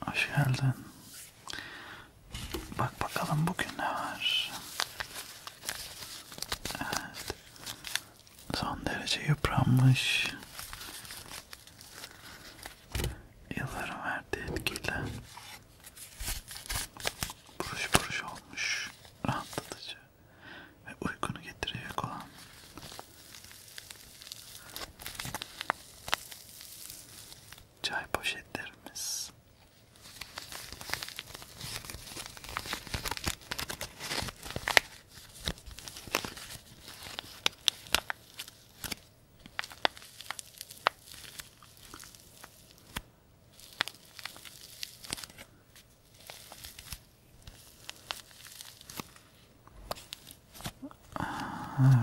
Hoş geldin. Bak bakalım bugün ne var. Evet. Son derece yıpranmış. Yılların verdiği etkiyle buruş buruş olmuş. Rahatlatıcı ve uykunu getirecek olan çay poşetlerimiz. Evet.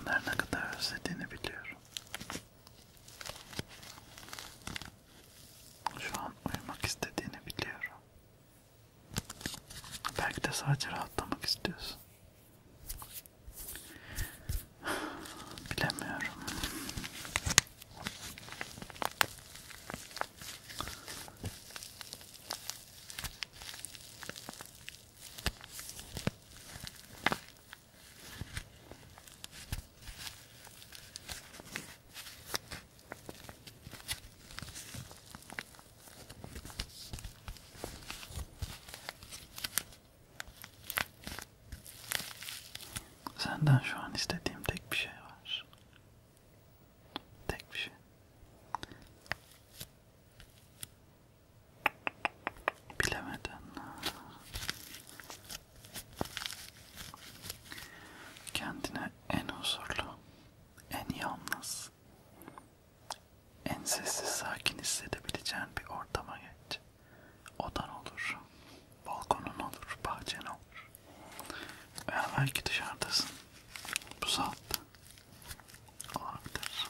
Bunları ne kadar özlediğini biliyorum. Şu an uyumak istediğini biliyorum. Belki de sadece rahatlamak istiyorsun. Bilemiyorum. Senden şu an istediğim tek bir şey var. Tek bir şey. Bilemeden. Kendine en huzurlu, en yalnız, en sessiz sakin hissedebileceğin bir ortama geç. Odan olur, balkonun olur, bahçen olur. Veya belki dışarıdasın. Bu saatte olabilir.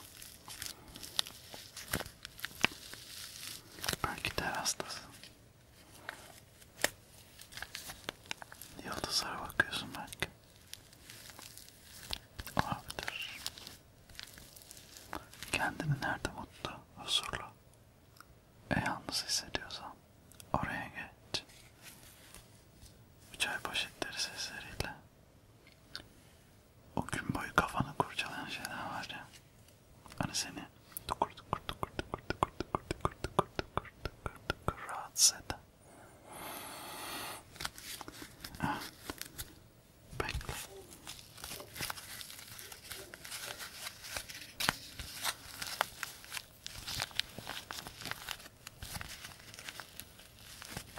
Belki terastasın. Yıldızlara bakıyorsun belki. Olabilir. Kendini nerede mutlu, huzurlu ve yalnız hissediyorsan oraya geç. Bu çay poşetleri sesleriyle o gün boyu kafanı kurcalayan şeyler var ya. Hani seni tukur tukur tukur tukur tukur tukur tukur tukur tukur tukur tukur rahatsız eden. Evet. Bekle.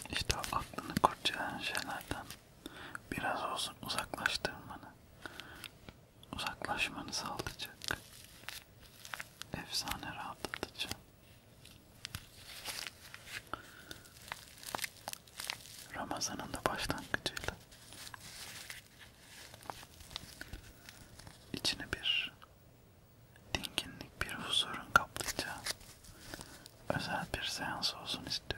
İşte aklını kurcalayan şeylerden biraz olsun uzaklaştırmanı, uzaklaşmanı sağlayacak. Efsane rahatlatıcı Ramazan'ın da başlangıcıyla içine bir dinginlik, bir huzurun kaplayacağı özel bir seans olsun istiyorum.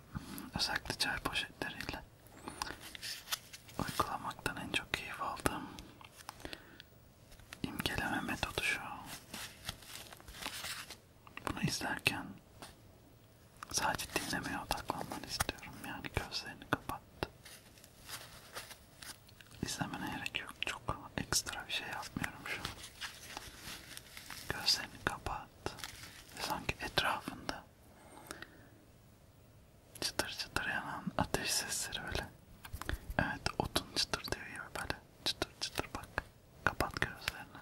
özellikle çay poşetleriyle uygulamaktan en çok keyif aldığım imgeleme metodu şu. Bunu izlerken sadece dinlemeye odaklanmanı istiyorum. Yani gözlerini kapat. İzlemene gerek yok. Çok ekstra bir şey yapmıyorum şu an. Gözlerini kapat. Sanki etrafında Çıtır çıtır yanan ateş sesleri öyle. Evet otun çıtır diyor ya böyle. Çıtır çıtır bak. Kapat gözlerini.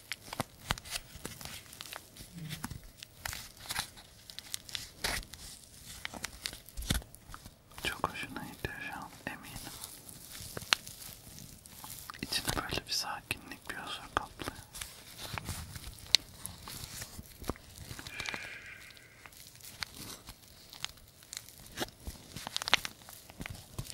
Çok hoşuna gidiyor şu an eminim. İçine böyle bir sakinlik, bir huzur kaplıyor.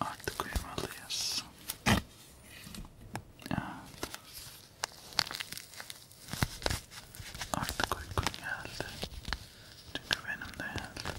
Artık uyumalıyız. Evet. Artık uykum geldi. Çünkü benim de geldi.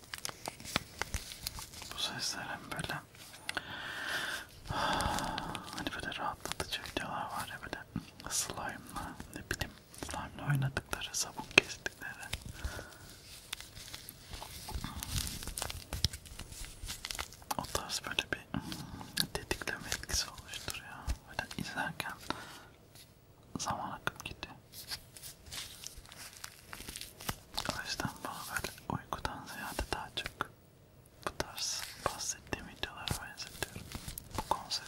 Bu sesler hem böyle hani böyle rahatlatıcı videolar var ya böyle slime'la ne bileyim slime'la oynadıkları sabun kestikleri o tarz böyle bir tetikleme etkisi oluşturuyor böyle izlerken zaman akıp gidiyor o yüzden bana böyle uykudan ziyade daha çok bu tarz bahsettiğim videolara benzetiyorum bu konsepti.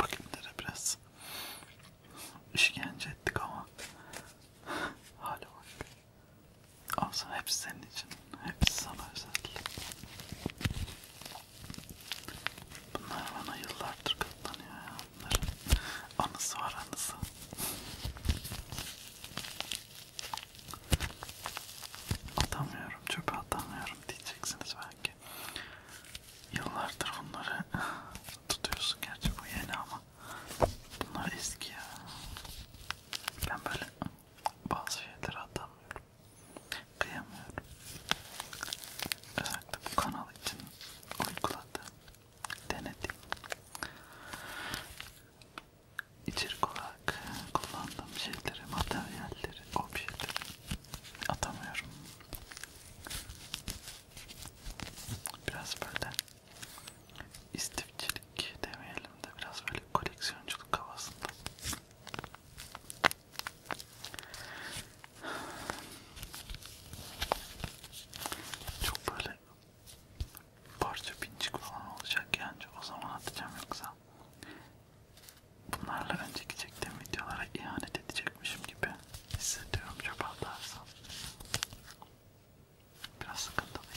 Bakımlara biraz işkence ettik ama hala bak. Olsun hepsi senin için. Hepsi sana özel. Bunlar bana yıllardır katlanıyor ya. Bunların anısı var anısı. Atamıyorum, çöpe atamıyorum diyeceksiniz belki. Yıllardır bunları tutuyorsun gerçi bu yeni ama bunlar eski ya. Ben böyle bazı şeyleri atamıyorum. Kıyamıyorum. Özellikle bu kanal için uyguladım, denedim. İçerik olarak kullandığım şeyleri, materyalleri, objeleri atamıyorum. Biraz böyle istifçilik demeyelim de biraz böyle koleksiyonculuk havasında çok böyle parça pincik falan olacak yani o zaman atacağım yoksa bunlarla önceki çektiğim videolara ihanet edecekmişim gibi hissediyorum çöp atarsam biraz sıkıntılıyım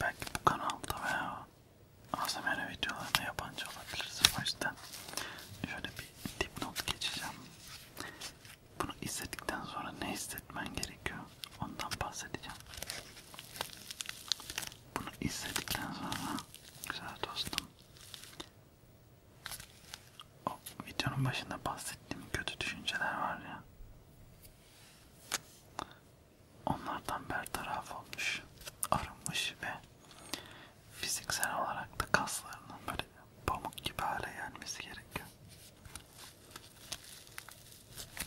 Belki bu kanalda veya ASMR videolarında yabancı olabilirsin o yüzden şöyle bir dipnot geçeceğim bunu izledikten sonra ne hissetmen gerekiyor? Ondan bahsedeceğim. Bunu izledikten sonra güzel dostum. O videonun başında bahsettiğim kötü düşünceler var ya. Onlardan bertaraf olmuş, arınmış ve fiziksel olarak da kaslarının böyle pamuk gibi hale gelmesi gerekiyor.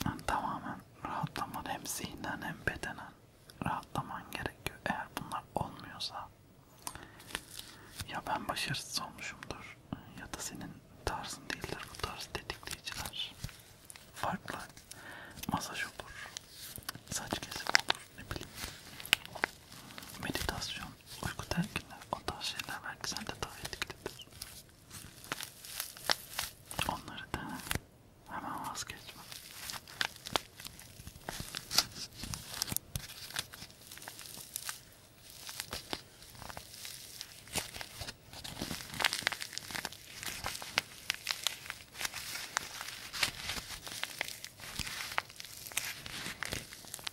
Yani tamamen rahatlaman hem zihnen hem bedenen rahatlaman gerekiyor. Eğer bunlar olmuyorsa ya ben başarısız olmuşumdur ya da senin tarzın değildir bu tarz tetikleyiciler. Farklı masaj olur, saç kesimi olur, ne bileyim meditasyon, uyku telkinler, o tarz şeyler belki sen de daha etkilidir. Onları dene, hemen vazgeçme.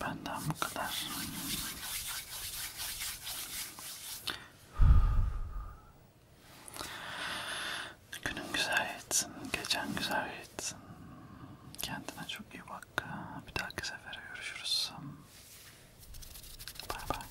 Benden bu kadar. Günün güzel geçsin, gecen güzel geçsin. Kendine çok iyi bak. Bir dahaki sefere görüşürüz. Bay bay.